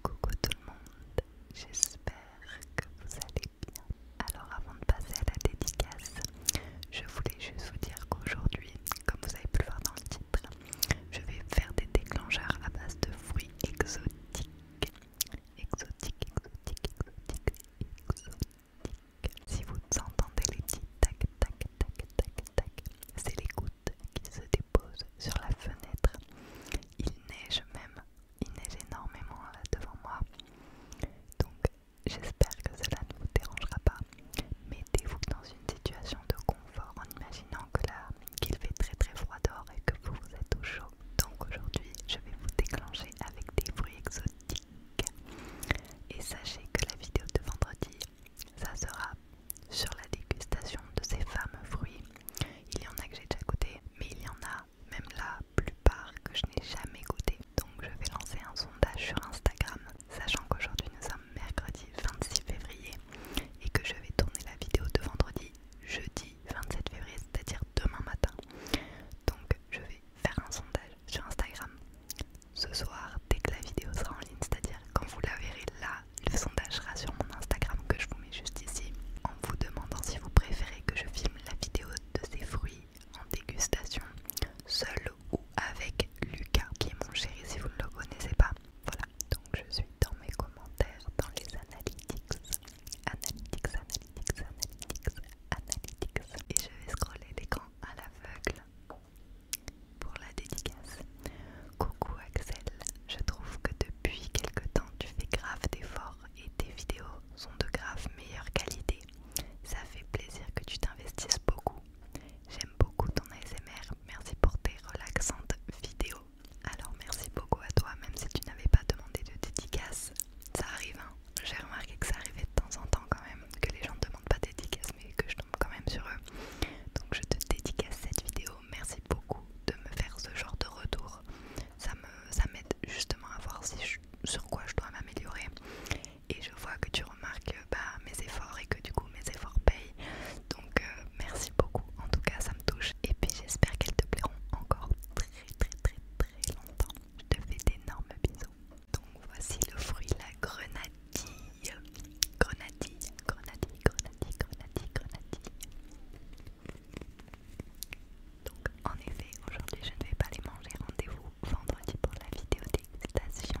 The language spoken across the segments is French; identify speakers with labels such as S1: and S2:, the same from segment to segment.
S1: Coucou tout le monde, j'espère que vous allez bien. Alors avant de passer à la dédicace, je voulais juste vous dire qu'aujourd'hui, comme vous avez pu le voir dans le titre, je vais faire des déclencheurs à base de fruits exotiques exotique, exotique, exotique, exotique. Si vous entendez les petits tac, tac, tac, tac, tac, c'est les gouttes qui se déposent sur la fenêtre. Il neige même, il neige énormément là euh, devant moi. Donc j'espère que cela ne vous dérangera pas. Mettez-vous dans une situation de confort en imaginant que là, qu'il fait très très froid dehors et que vous, vous êtes au chaud donc aujourd'hui je vais vous déclencher avec des fruits exotiques et sachez que la vidéo de vendredi ça sera sur la dégustation de ces fameux fruits il y en a que j'ai déjà goûté mais il y en a même la plupart que je n'ai jamais goûté donc je vais lancer un sondage sur Instagram sachant qu'aujourd'hui nous sommes mercredi 26 février et que je vais tourner la vidéo de vendredi jeudi 27 février c'est à dire demain matin donc je vais faire un sondage sur Instagram ce soir dès que la vidéo sera en ligne, c'est-à-dire quand vous la verrez là, le sondage sera sur mon Instagram que je vous mets juste ici en vous demandant si vous préférez que je filme la vidéo de ces fruits en dégustation seul ou avec Lucas qui est mon chéri si vous ne le connaissez pas. Voilà, donc je suis dans mes commentaires, dans les analytics, Analytics, Analytics, Analytics, Analytics. Et je vais scroller l'écran à l'aveugle pour la dédicace. Coucou Axel, je trouve que depuis quelque temps tu fais grave d'efforts et tes vidéos sont de grave meilleure qualité. Ça fait plaisir que tu t'investisses beaucoup. J'aime beaucoup ton ASMR, merci pour tes relaxantes vidéos. Alors merci beaucoup à toi, même si tu n'avais pas demandé de dédicace, ça arrive, hein. j'ai remarqué que ça arrivait de temps en temps quand même, que les gens ne demandent pas d'édicaces mais que je tombe quand même sur eux. Donc je te dédicace cette vidéo, merci beaucoup de me faire ce genre de retour. Ça m'aide justement à voir sur quoi je dois m'améliorer. Et je vois que tu remarques bah, mes efforts et que du coup mes efforts payent. Donc euh, merci beaucoup, en tout cas ça me touche. Et puis j'espère qu'elles te plairont encore très très très très très longtemps. Je te fais d'énormes bisous. Donc voici le fruit, la grenadille. Grenadille, grenadille, grenadille, grenadille, grenadille. Donc en effet, aujourd'hui je ne vais pas les manger. Rendez-vous vendredi pour la vidéo d'excitation.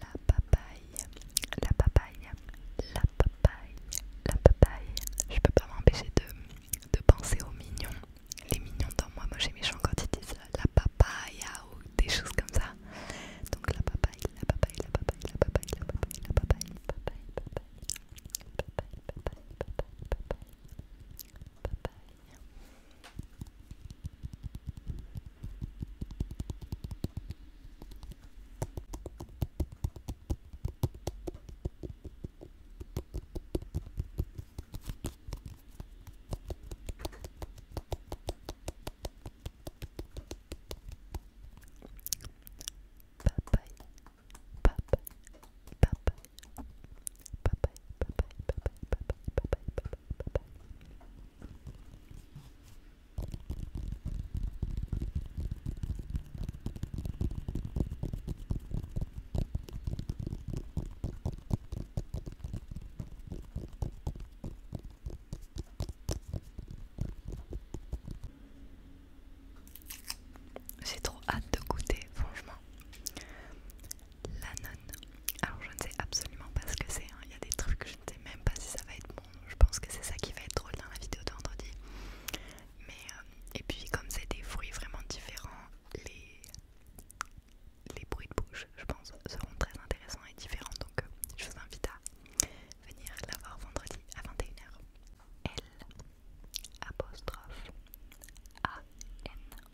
S1: la papaye, la papaye, la papaye, la papaye. Je peux pas m'empêcher de, de penser aux mignons, les mignons dans moi. Moi j'ai mes quand ils disent la papaye ou des choses comme ça. Donc la papaye, la papaye, la papaye, la papaye, la papaye, la papaye, la papaye, papaye, papaye, papaye, papaye, papaye, papaye, papaye, Papaye, papa papa Bye bye, bye bye, bye bye, bye bye, bye bye, bye bye, bye bye. J'ai trop hâte de goûter, franchement. Lanon. Alors je ne sais absolument pas ce que c'est, hein. il y a des trucs, que je ne sais même pas si ça va être bon. Je pense que c'est ça qui va être drôle dans la vidéo de vendredi. Mais, euh, et puis comme c'est des fruits vraiment différents, les, les bruits de bouche, je pense, seront très intéressants et différents. Donc euh, je vous invite à venir la voir vendredi à 21h. L apostrophe N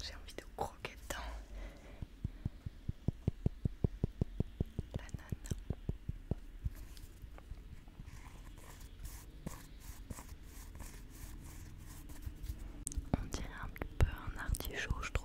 S1: j'ai envie de on dirait un peu un artichaut, je trouve.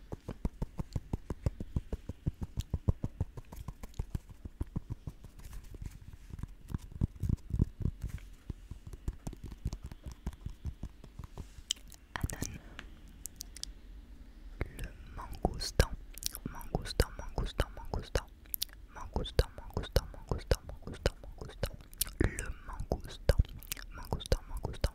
S1: Anan. Le mangoustan, mangoustan, mangoustan, mangoustan, mangoustan, mangoustan, mangoustan, mangoustan, mangoustan, le mangoustan, mangoustan, mangoustan,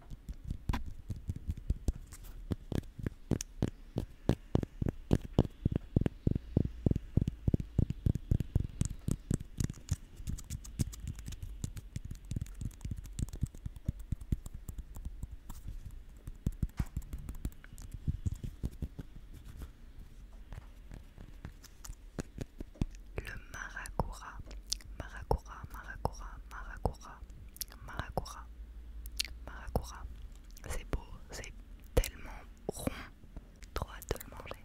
S1: Le Marakura, maracura, maracura, maracura, Maracura. Maracura. C'est beau, c'est tellement rond. Trop de le manger.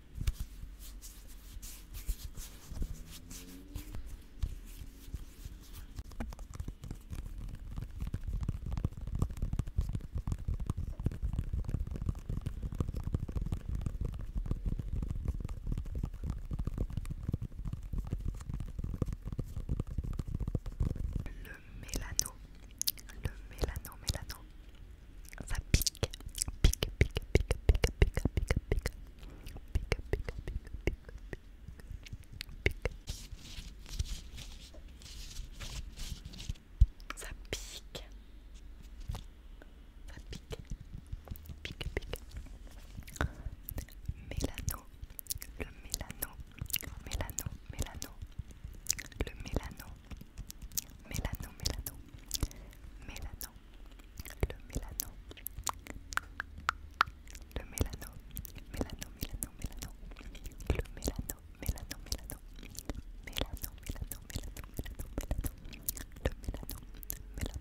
S1: Le mélano, le mélano, mélano, ça pique, pique, pique, pique, pique, pique, pique, pique, pique, pique, pique, pique, ça pique, ça pique, pique, pique, mélano, le mélano, mélano, mélano, le mélano, Mélano, mélano, mélano, le mélano, le mélano, mélano, mélano, mélano, le mélano, mélano, mélano, mélano, mélano, mélano, mélano, mélano, le mélano, mélano, mélano, mélano, mélano.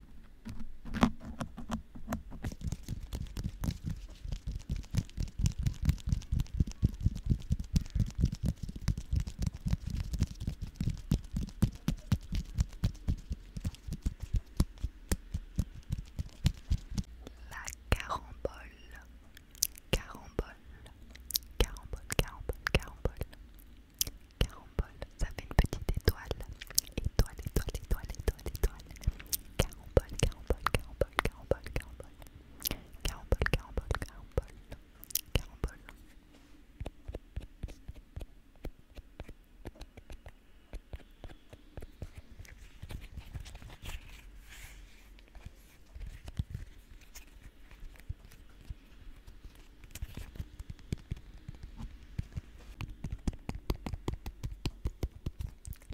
S1: La carambole, carambole, carambole, carambole, carambole, Carambole, ça fait une petite étoile. Étoile, étoile, étoile, étoile, étoile. carambole, carambole, carambole, carambole. carambole, carambole.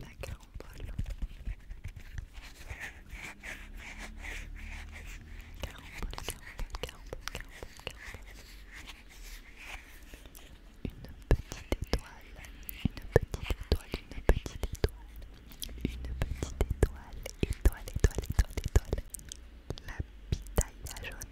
S1: La carambole. Carambole, carambole, carambole, carambole, carambole. Une petite étoile, une petite étoile, une petite étoile, une petite étoile, étoile, étoile, étoile, étoile. La pitaille jaune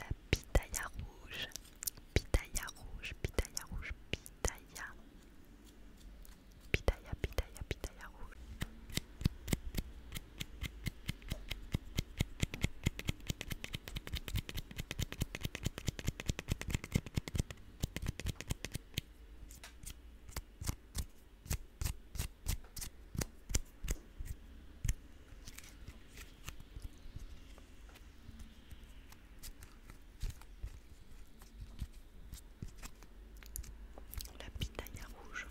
S1: La pitaya rouge, pitaya rouge, pitaya rouge, pitaya, pitaya, pitaya, pitaya rouge. rouge, la pitaille rouge.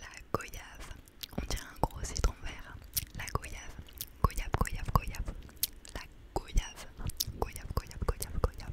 S1: La goyave, on dirait un gros citron vert. La goyave, goyave, goyave, goyave. La goyave, goyave, goyave, goyave, goyave.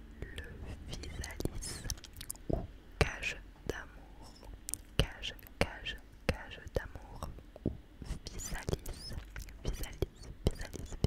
S1: le physalis ou cage d'amour, cage, cage, cage d'amour ou visualise visualise visualise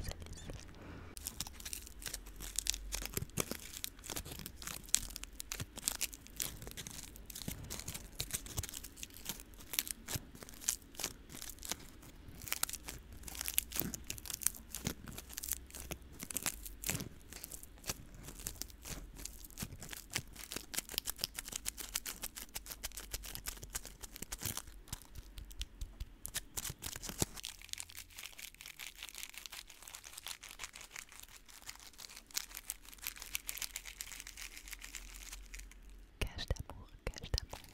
S1: Cache d'amour, cache d'amour.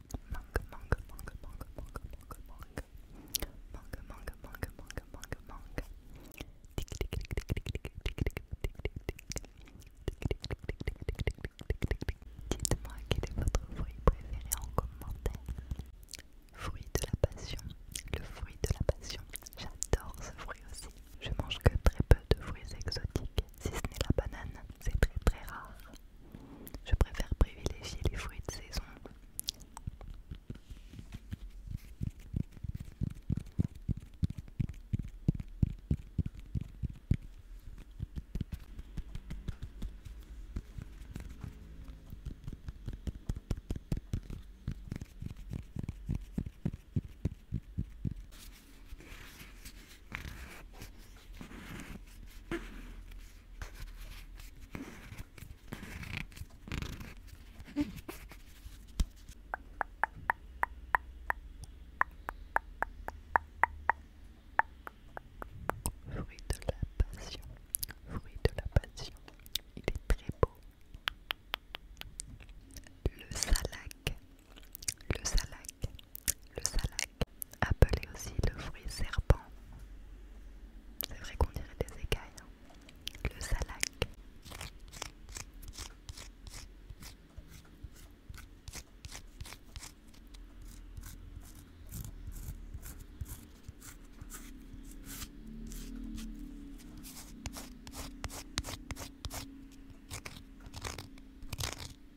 S1: mangue, mangue, mangue, mangue, manque, mangue, mangue, manque manque mangue, mangue, mangue, mangue, tic tic tic tic tic tic tic tic Dites-moi quel est votre fruit préféré en commentaire. Fruit de la passion, le fruit de la passion. J'adore ce fruit aussi. Je mange que très peu de fruits exotiques, si ce n'est la banane, c'est très très rare. Je préfère privilégier les fruits de saison. Fruit de la passion, fruit de la passion, il est très beau. Le salac, le salac, le salac, appelé aussi le fruit serpent. C'est vrai qu'on dirait des écailles. Hein. Le salac.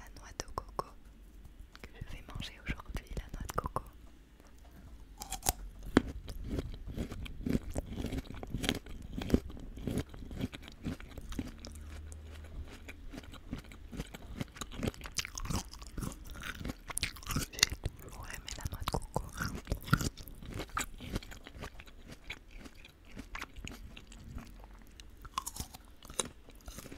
S1: La noix de coco que je vais manger aujourd'hui, la noix de coco. J'ai la noix de coco.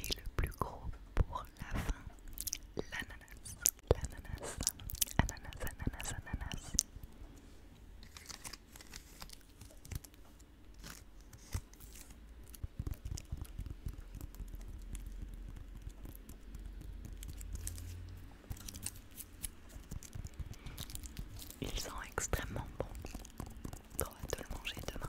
S1: Et le plus gros pour la fin, l'ananas. L'ananas, ananas, ananas, ananas. Ils sont extrêmement bons. On va le manger demain.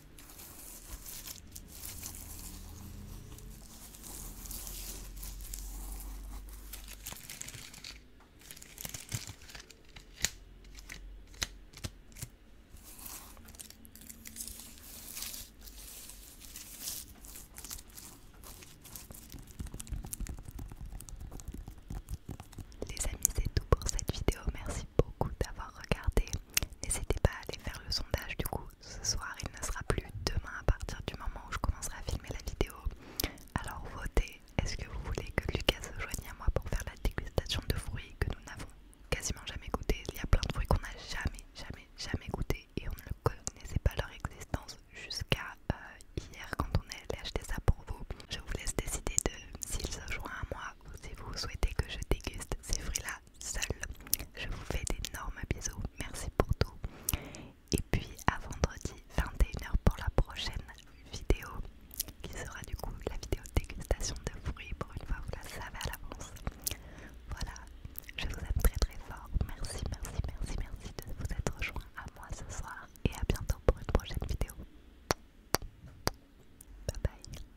S1: Les amis, c'est tout pour cette vidéo. Merci beaucoup d'avoir regardé. N'hésitez pas à aller faire le sondage du coup. Ce soir, il ne sera plus demain à partir du moment où je commencerai à filmer la vidéo. Alors votez. Est-ce que vous voulez que Lucas se joigne à moi pour faire la dégustation de fruits que nous n'avons quasiment jamais goûté Il y a plein de fruits qu'on n'a jamais, jamais, jamais goûté et on ne connaissait pas leur existence jusqu'à euh, hier quand on est allé acheter ça pour vous. Je vous laisse décider de s'il se joint à moi ou si vous souhaitez que je déguste ces fruits-là Seule, seul. Je vous fais d'énormes bisous, merci pour tout. Et puis à vendredi 21h pour la prochaine vidéo qui sera du coup la vidéo dégustation de fruits. Pour une fois, vous la savez à l'avance. Voilà, je vous aime très très fort. Merci, merci, merci, merci de vous être rejoints à moi ce soir et à bientôt pour une prochaine vidéo. Bye bye.